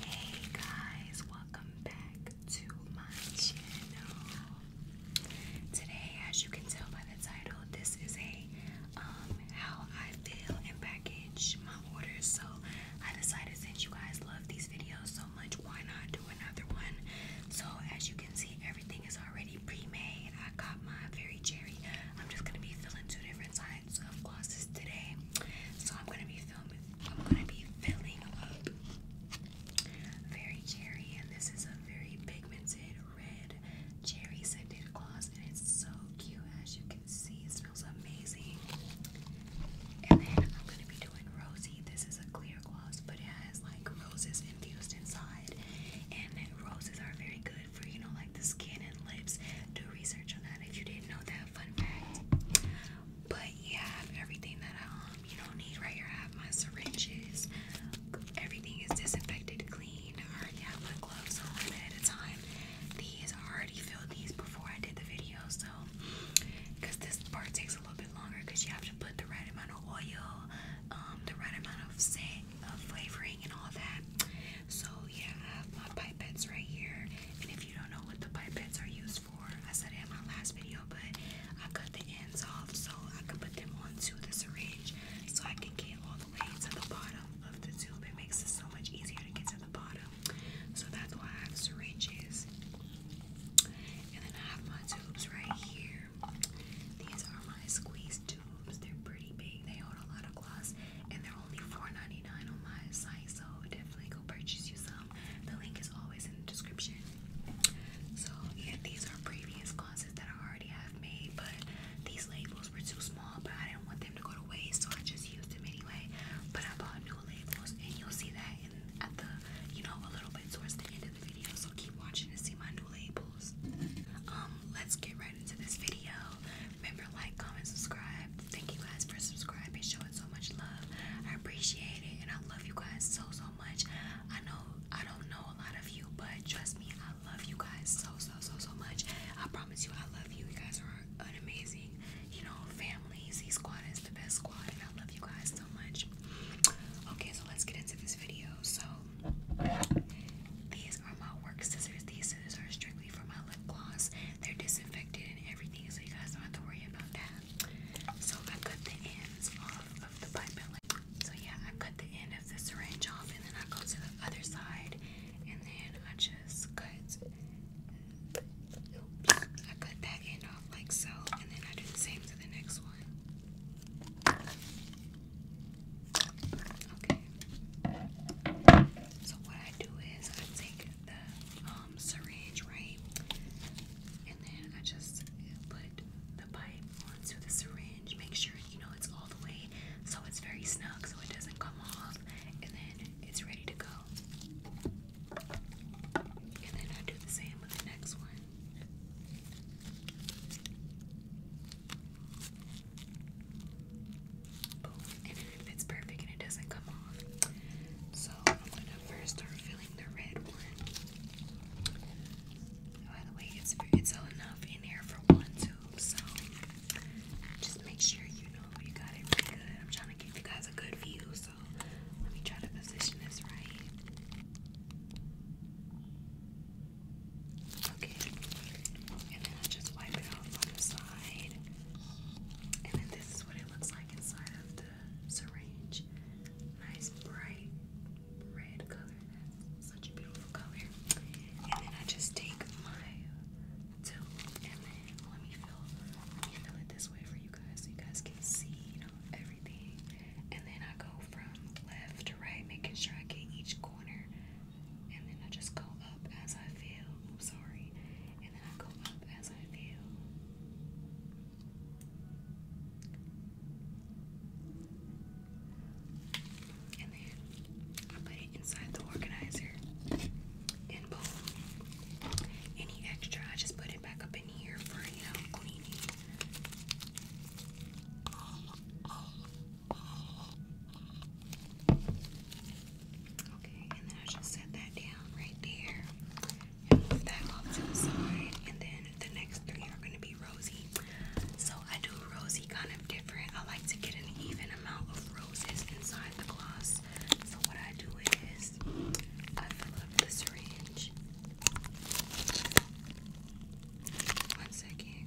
Hey guys, welcome back to my channel. Today, as you can tell by the title, this is a um, how I feel and package my orders. So I decided since you guys love these videos so much, why not do another one? So as you can see, everything is already pre-made. I got my very cherry. I'm just gonna be filling two different sides of glosses today. So I'm gonna be I'm gonna be filling up very cherry, and this is a very pigmented red cherry scented gloss, and it's so cute as you can see. It smells amazing. And then I'm gonna be doing rosy. This is a clear gloss, but it has like roses infused inside, and roses are very good for you know like the skin and lips. Do research on that if you didn't know that. Fun fact. But yeah, I have everything that um you don't need right here. I have my syringes. Everything is disinfected, clean. I already have my gloves on ahead of time. These I already filled these before I did the video, so because this part takes a little bit longer because you have to put the right amount of oil, um, the right amount of scent, of flavoring, and all that. So yeah, I have my pipettes right here, you don't know what the pipettes are used for, I said it in my last video, but I cut the ends off so I could put them onto the syringe so I can get all the way to the bottom of the tube. It makes it so much easier to get to the bottom. So that's why I have syringes. And then I have my tubes right here. These are my squeeze tubes. They're pretty big. They hold a lot of gloss and they're only $4.99 on my site, so definitely go purchase you some. The link is always in the description. So yeah, these are previous classes that I already have made, but these labels were too small, but I didn't want them to go to waste, so I just used them anyway. But I bought new labels, and you'll see that at the you know a little bit towards the end of the video. So keep watching to see my new labels. Um, let's get right into this video. Remember, like, comment, subscribe. Thank you guys for subscribing, showing so much love. I appreciate it, and I love you guys so so much. I know I don't know a lot of you, but trust me, I love you guys so so so so much. I promise you, I love you. You guys are amazing, you know, family. Z Squad is the best squad, and I love you guys so much. Okay, so let's get into this video. So these are my work scissors. These scissors are strictly for my lip gloss they're disinfected and everything, so you guys don't have to worry about that. So I cut the ends off of the pipe. So yeah, I cut the end of the syringe off, and then I go to the other side, and then I just cut. I cut that end off like so, and then I do the same to the next one. Okay. So what I do is I take the um, syringe, right? And then I just put the pipe onto the syringe, make sure you know it's all the way so it's very snug so it doesn't come off, and then it's ready to go. And then I do the same with the next one. Boom. And it fits perfect and it doesn't come off. So I'm gonna first start filling the red one. By the way, it's it's enough in here for one tube, so just make sure you know you got it good. I'm trying to give you guys a good view, so let me try to position this right. Okay, and then I just wipe it off on the side. And then this is what it looks like inside of the syringe. Nice bright red color. such a beautiful color. And then I just take my tube and then let me fill fill it this way for you guys so you guys can see, you know, everything. And then I go from left to right, making sure I get each corner. And then I just go up as I feel. I'm sorry and then I go up as I feel. And then I put it inside the organizer. And boom. Any extra, I just put it back up in here for, you cleaning. Okay, and then I just set that down right there. And move that off to And then the next three are going to be rosy. So I do rosy kind of different. I like to get an even amount of roses inside the gloss. So what I do is I fill up this range. One second.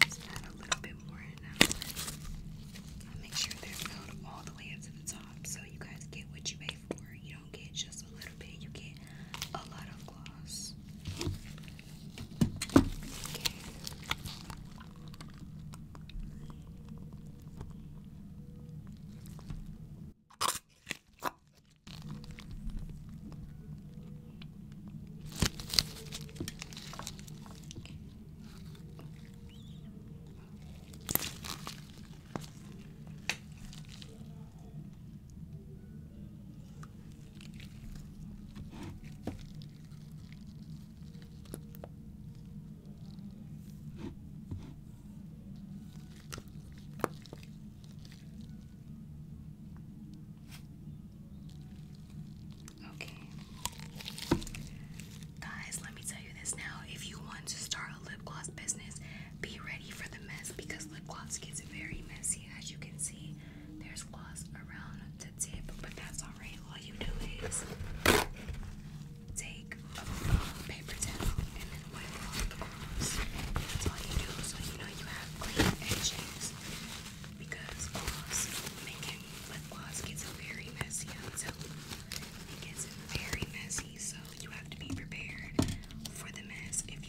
Just add a little bit more in make sure they're filled all the way up to the top so you guys get what you pay for. You do get just a little bit, you get a lot of gloss. Okay. Guys, let me tell you this now. If you want to start a lip gloss business, be ready for the mess because lip gloss gets very messy as you can see, there's gloss around the tip, but that's alright. All you do is take a paper towel and then wipe off the gloss. That's all you do, so you know you have clean edges. Because gloss, making lip gloss gets very messy until it gets very messy, so you have to be prepared for the mess if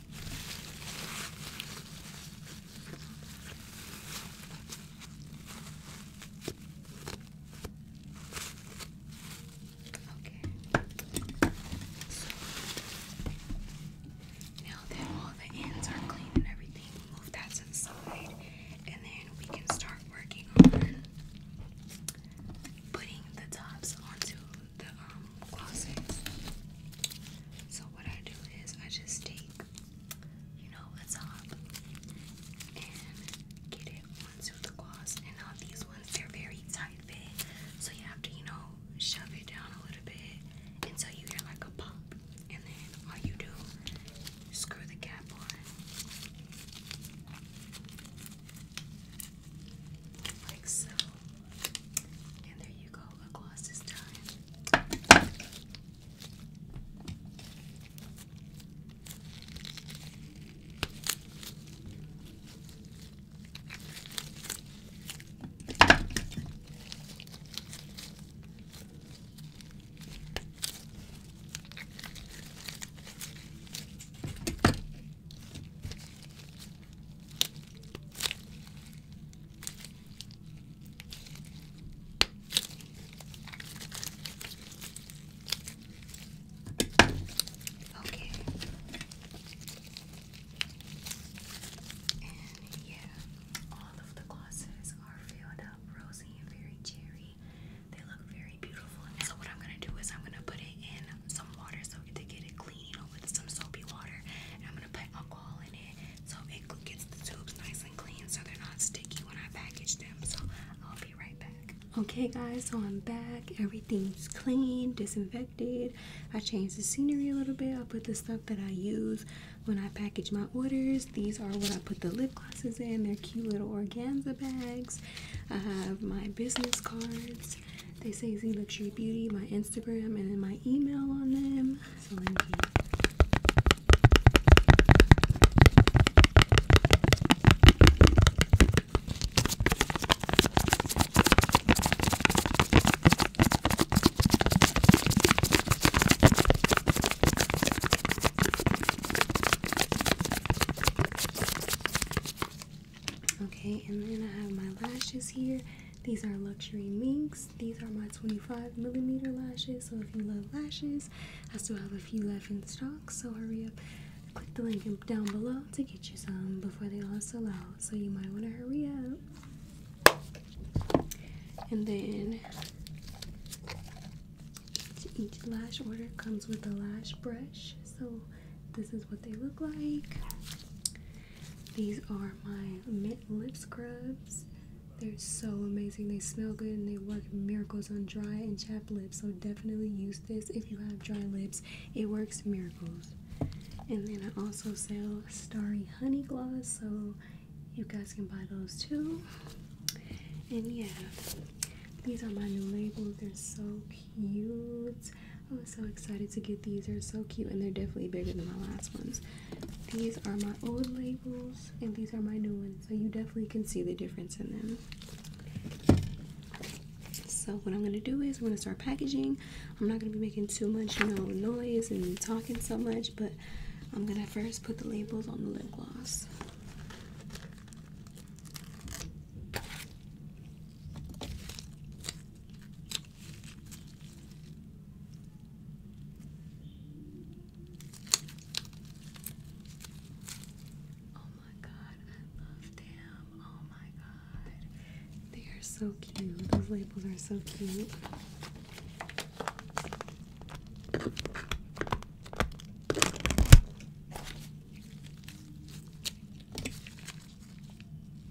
Okay. So now that all the ends are clean and everything, move that to and then we can start working on putting the tops onto the um closets. So what I do is I just take, you know, a top and get it onto the closet. And now these ones they're very tight fit, so you have to, you know, shove it down a little bit until you get like a pop. And then all you do, screw the cap on. Like so. And there you go a gloss this time. Okay. And yeah, all of the glosses are filled up rosy and very cherry. They look very beautiful. so what I'm gonna do is I'm gonna put it in some water so to get it clean, you with some soapy water. I'm gonna put alcohol in it so it gets the tubes nice and clean so they're not sticky when I package them. So I'll be right back. Okay, guys, so I'm back. Everything's clean, disinfected. I changed the scenery a little bit. I put the stuff that I use when I package my orders. These are what I put the lip glosses in. They're cute little organza bags. I have my business cards they say Z Luxury Beauty, my Instagram, and then my email on them. Okay, and then I have my lashes here. These are luxury minks. These are my 25 millimeter lashes. So if you love lashes, I still have a few left in stock. So hurry up, click the link down below to get you some before they all sell out. So you might want to hurry up. And then each lash order comes with a lash brush. So this is what they look like. These are my mint lip scrubs. They're so amazing. They smell good and they work miracles on dry and chapped lips. So definitely use this if you have dry lips. It works miracles. And then I also sell Starry Honey Gloss, so you guys can buy those too. And yeah, these are my new labels. They're so cute. I oh, was so excited to get these. They're so cute and they're definitely bigger than my last ones. These are my old labels and these are my new ones. So you definitely can see the difference in them. So what I'm going to do is I'm going to start packaging. I'm not going to be making too much you know, noise and talking so much, but I'm going to first put the labels on the lip gloss. Oh my god, I love them. Oh my god. They are so cute. Those labels are so cute.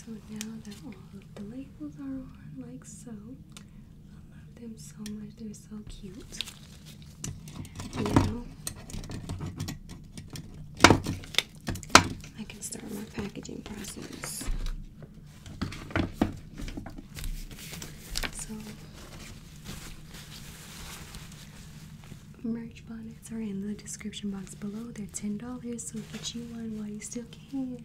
So now that all of the labels are on, like so, I love them so much so cute. Now I can start my packaging process. So merch bonnets are in the description box below. They're ten dollars, so get you one while you still can.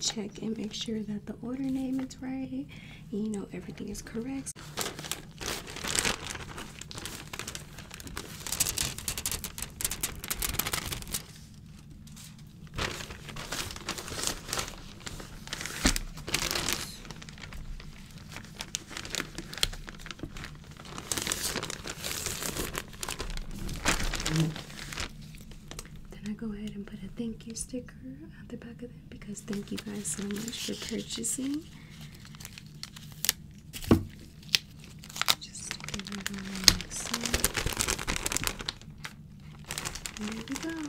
check and make sure that the order name is right. you know everything is correct. Then I go ahead and put a thank you sticker at the back of it because thank you guys so much for purchasing. Just stick it right on like There we go.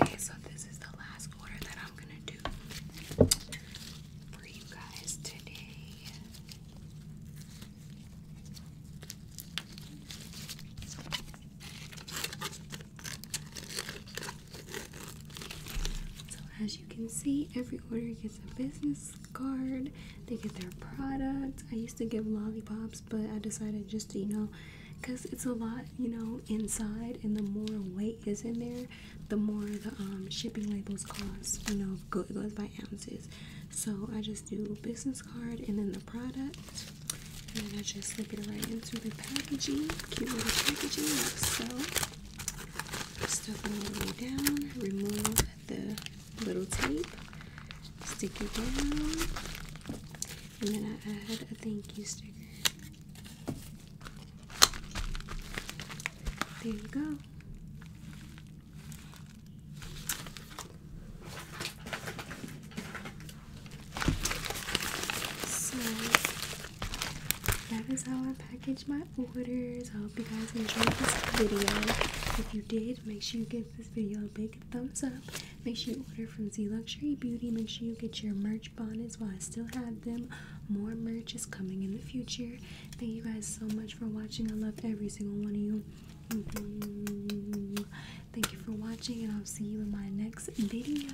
Okay, so this is the last order that I'm gonna do for you guys today. So, as you can see, every order gets a business card, they get their product. I used to give lollipops, but I decided just to, you know, because it's a lot, you know, inside, and the more weight is in there, the more the um, shipping labels cost. You know, go, it goes by ounces. So I just do business card and then the product, and then I just slip it right into the packaging. Cute little packaging, like so. Stuff it all the way down. Remove the little tape. Stick it down. And then I add a thank you sticker. There you go. So that is how I package my orders. I hope you guys enjoyed this video. If you did, make sure you give this video a big thumbs up Make sure you order from Z Luxury Beauty. Make sure you get your merch bonnets while I still have them. More merch is coming in the future. Thank you guys so much for watching. I love every single one of you. Mm-hmm. Thank you for watching, and I'll see you in my next video.